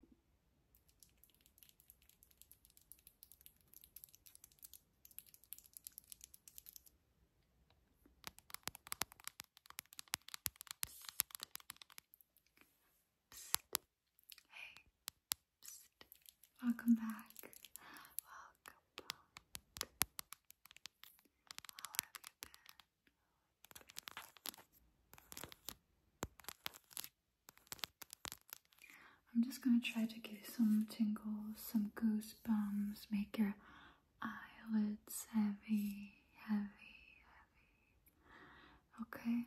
Hey, Psst. welcome back. How have you been? I'm just going to try to give you some tingles, some goosebumps, make your eyelids heavy, heavy, heavy. Okay?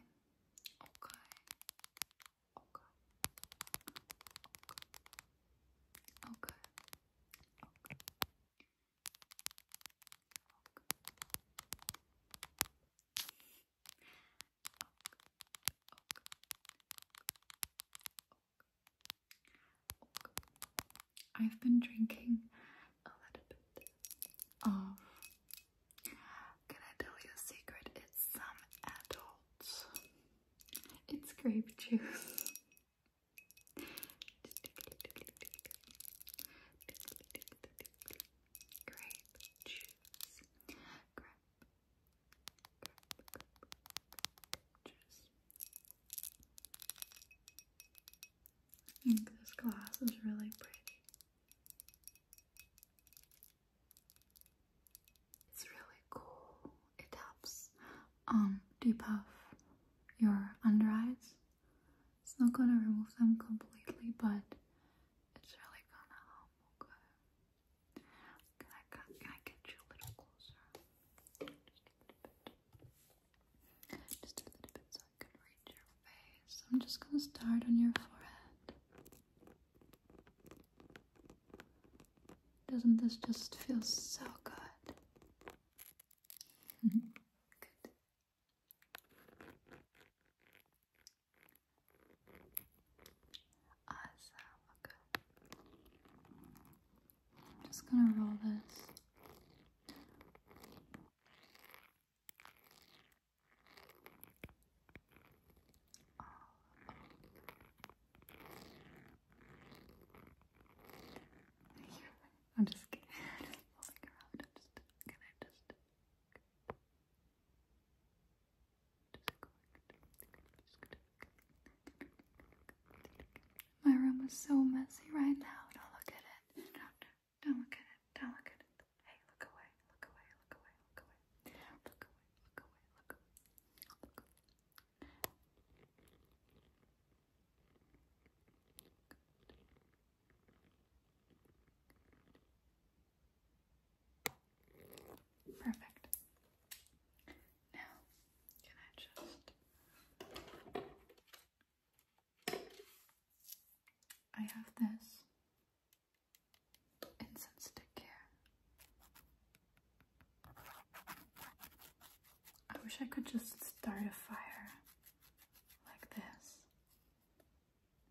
Okay. Okay. Okay. Okay. Okay. I've been drinking a little bit Can I tell you a secret? It's some adults. It's grape juice. grape juice, grape, grape, grape, juice. I think this glass is really pretty. It's really cool. It helps um depuff your under eyes. It's not gonna remove them completely, but it's really gonna help. Okay. Can I, can I get you a little closer? Just a little bit so I can reach your face. I'm just gonna start on your forehead. Doesn't this just feel so good? good. I'm Just gonna roll this. Oh. I'm just kidding. I'm just rolling I'm just can I just just My room is so messy right now. Don't look at it. Don't, don't look at it. Don't look at it. Hey, look away. Look away. Look away. Look away. Look away. Look away. Perfect. Now, can I just. I have this incense stick here. I wish I could just start a fire like this.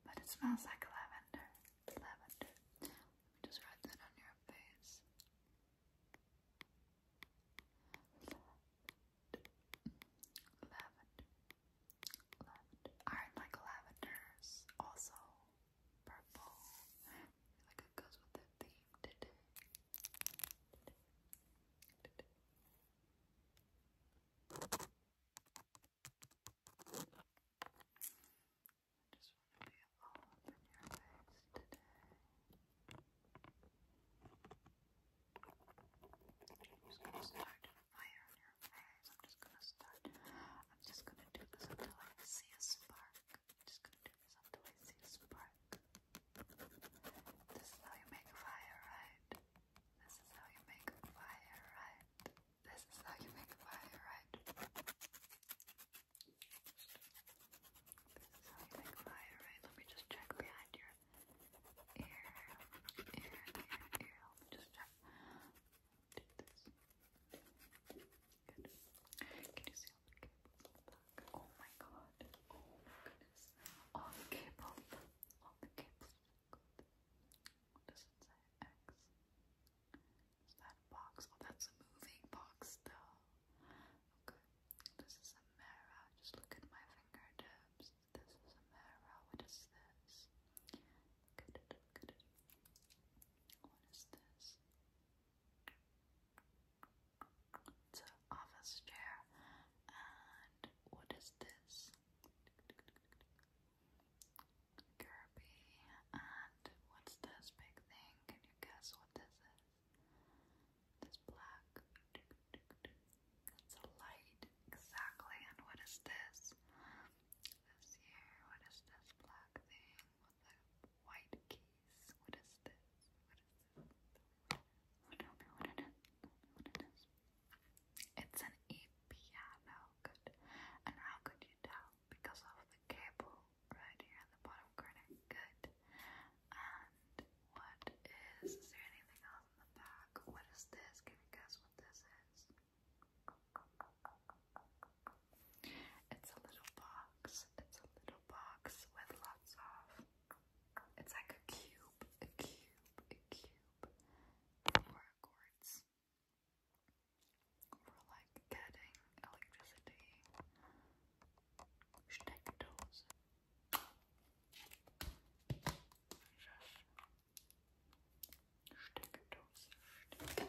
But it smells like lavender. Lavender. Let me just write that on your face. Lavender. Lavender. Lavender. Aren't like lavenders also purple? I feel like it goes with the theme today. today. today. I just want to be all up your face today. I'm just gonna start a fire in your face. I'm just gonna start. I'm just gonna do this until I see a spark. I'm just gonna do this until I see a spark. This is how you make fire, right? This is how you make a fire, right? This is how you make fire, right? This is how you make fire, right? Let me just check behind your ear, ear, ear, ear. just check. Can you see all the cables Oh my god. Oh goodness. All the cables. Okay. Good. does it say? X. Is that a box? Oh, that's a moving box, though. Okay. This is a mirror. Just look at my fingertips. This is a mirror. What is this? Look it. Look it. What is this? It's an office chair. And what is this? Kirby. And what's this big thing? Can you guess what this is? This black. It's a light. Exactly. And what is this? This here. What is this black thing with the white keys? What is this? What is this? what it is. What it is. It's an e-piano. Good. And how could you tell? Because of the cable right here at the bottom corner. Good. And what is? Is there anything else in the back? What is this? Can you guess what this is? It's a little box. It's a little box with lots of it's like a cube, a cube, a cube, or a for like getting electricity. Steckdose. Steckdose. Steckdose. How you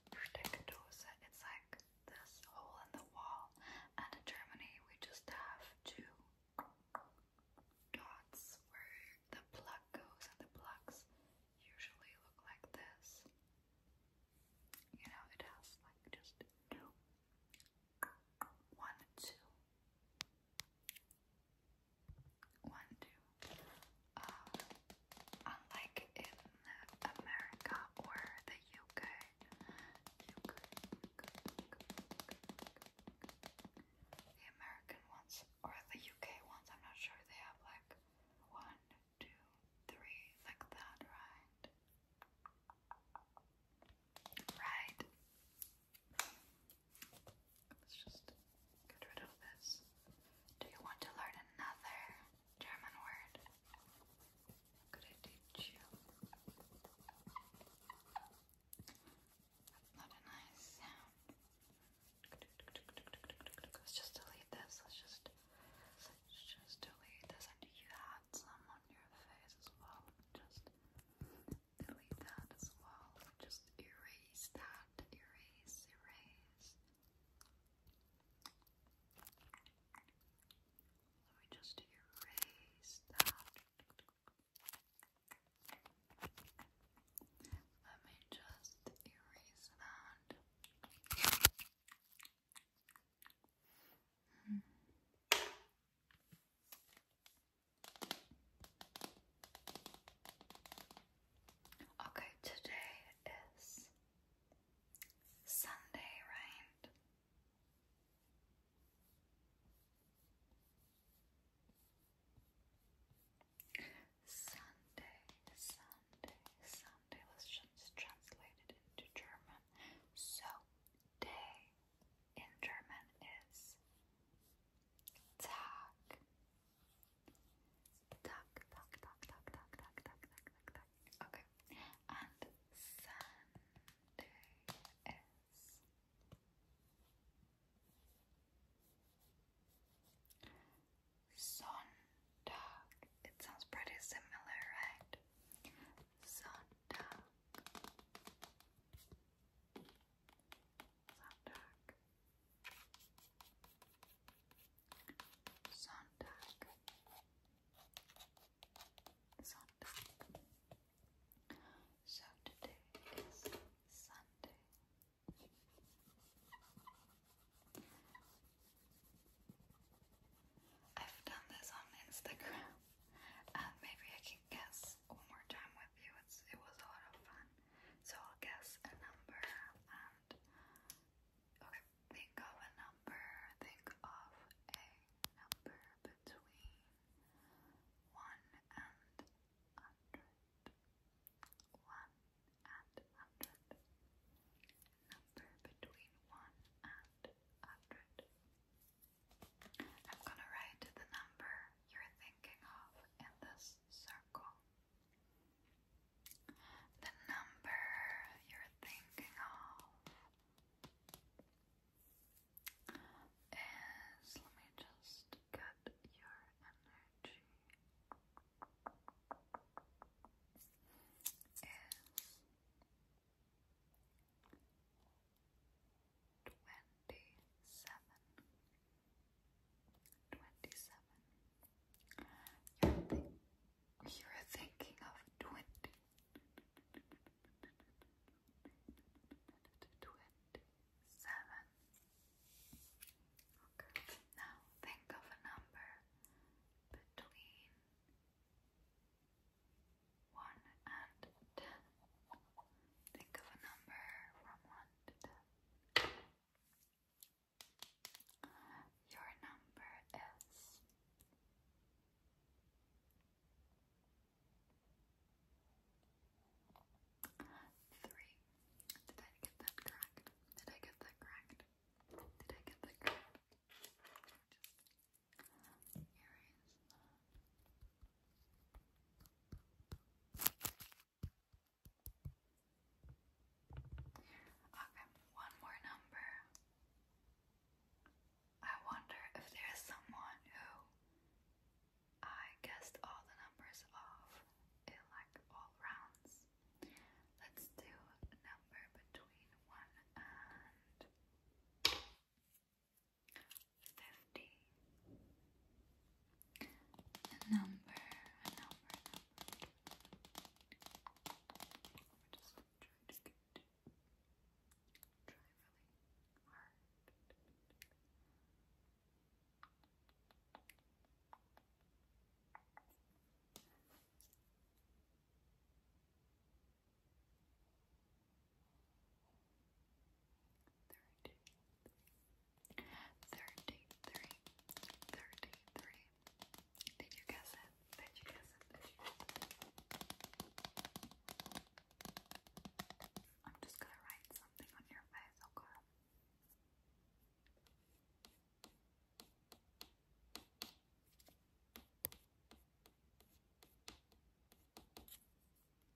Steckdose. It's like this hole in the wall. And in Germany, we just have two dots where the plug goes, and the plugs usually look like this. You know, it has like just two, one, two, one, two, uh, unlike in America or the UK, the American ones or the UK ones, I'm not sure they have like one, two, three, like that, right? Right. Let's just get rid of this. Do you want to learn another? German word. not a nice sound. Let's just delete this. Let's just let's just delete this. And you had some on your face as well. Just delete that as well. Just erase that. Erase, erase. Let me just erase that. Let me just erase that. Okay, today is Sunday, right? Sunday, Sunday, Sunday. Let's just translate it into German. So, day in German is Tag. Duck, duck, duck, duck, duck, duck, duck, duck, duck, duck. Okay. And Sunday is Sondag. It sounds pretty similar, right? Sondag. Sonntag. Sonntag. Sonntag. So today is Sunday. I've done this on Instagram, and uh, maybe I can guess one more time with you. It's, it was a lot of fun. So I'll guess a number, um, and okay, think of a number, think of a number between one and hundred. One and hundred. Number between one and hundred. I'm gonna write the number you're thinking of in this circle the number you're thinking of is let me just get your energy is twenty seven. Twenty-seven. You're, thinking of twenty. Twenty-seven. Okay. Now think of a number between one and ten. Think of a number from one to ten. Your number is three. Did I get that correct? Did I get that correct? Did I get that correct? Okay, one more number. I wonder if there's someone who I guessed all the numbers of in like all rounds. Let's do number between 1 and 50 fifty. A number, a number, a number. just trying to get try really hard. Thirty-three. Did you guess it? Did you guess it? I'm just gonna write something on your face, okay?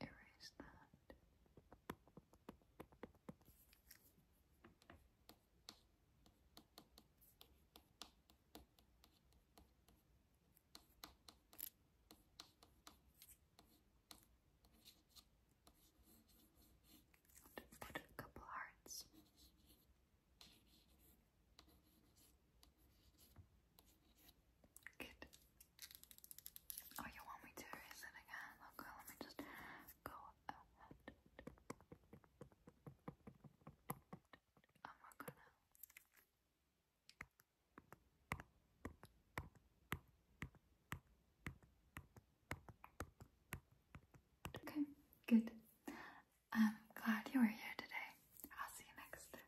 erase that. I'll put a couple hearts. Good. Oh, you want me to erase again? Okay, let me just go ahead. Okay, good. I'm glad you were here today. I'll see you next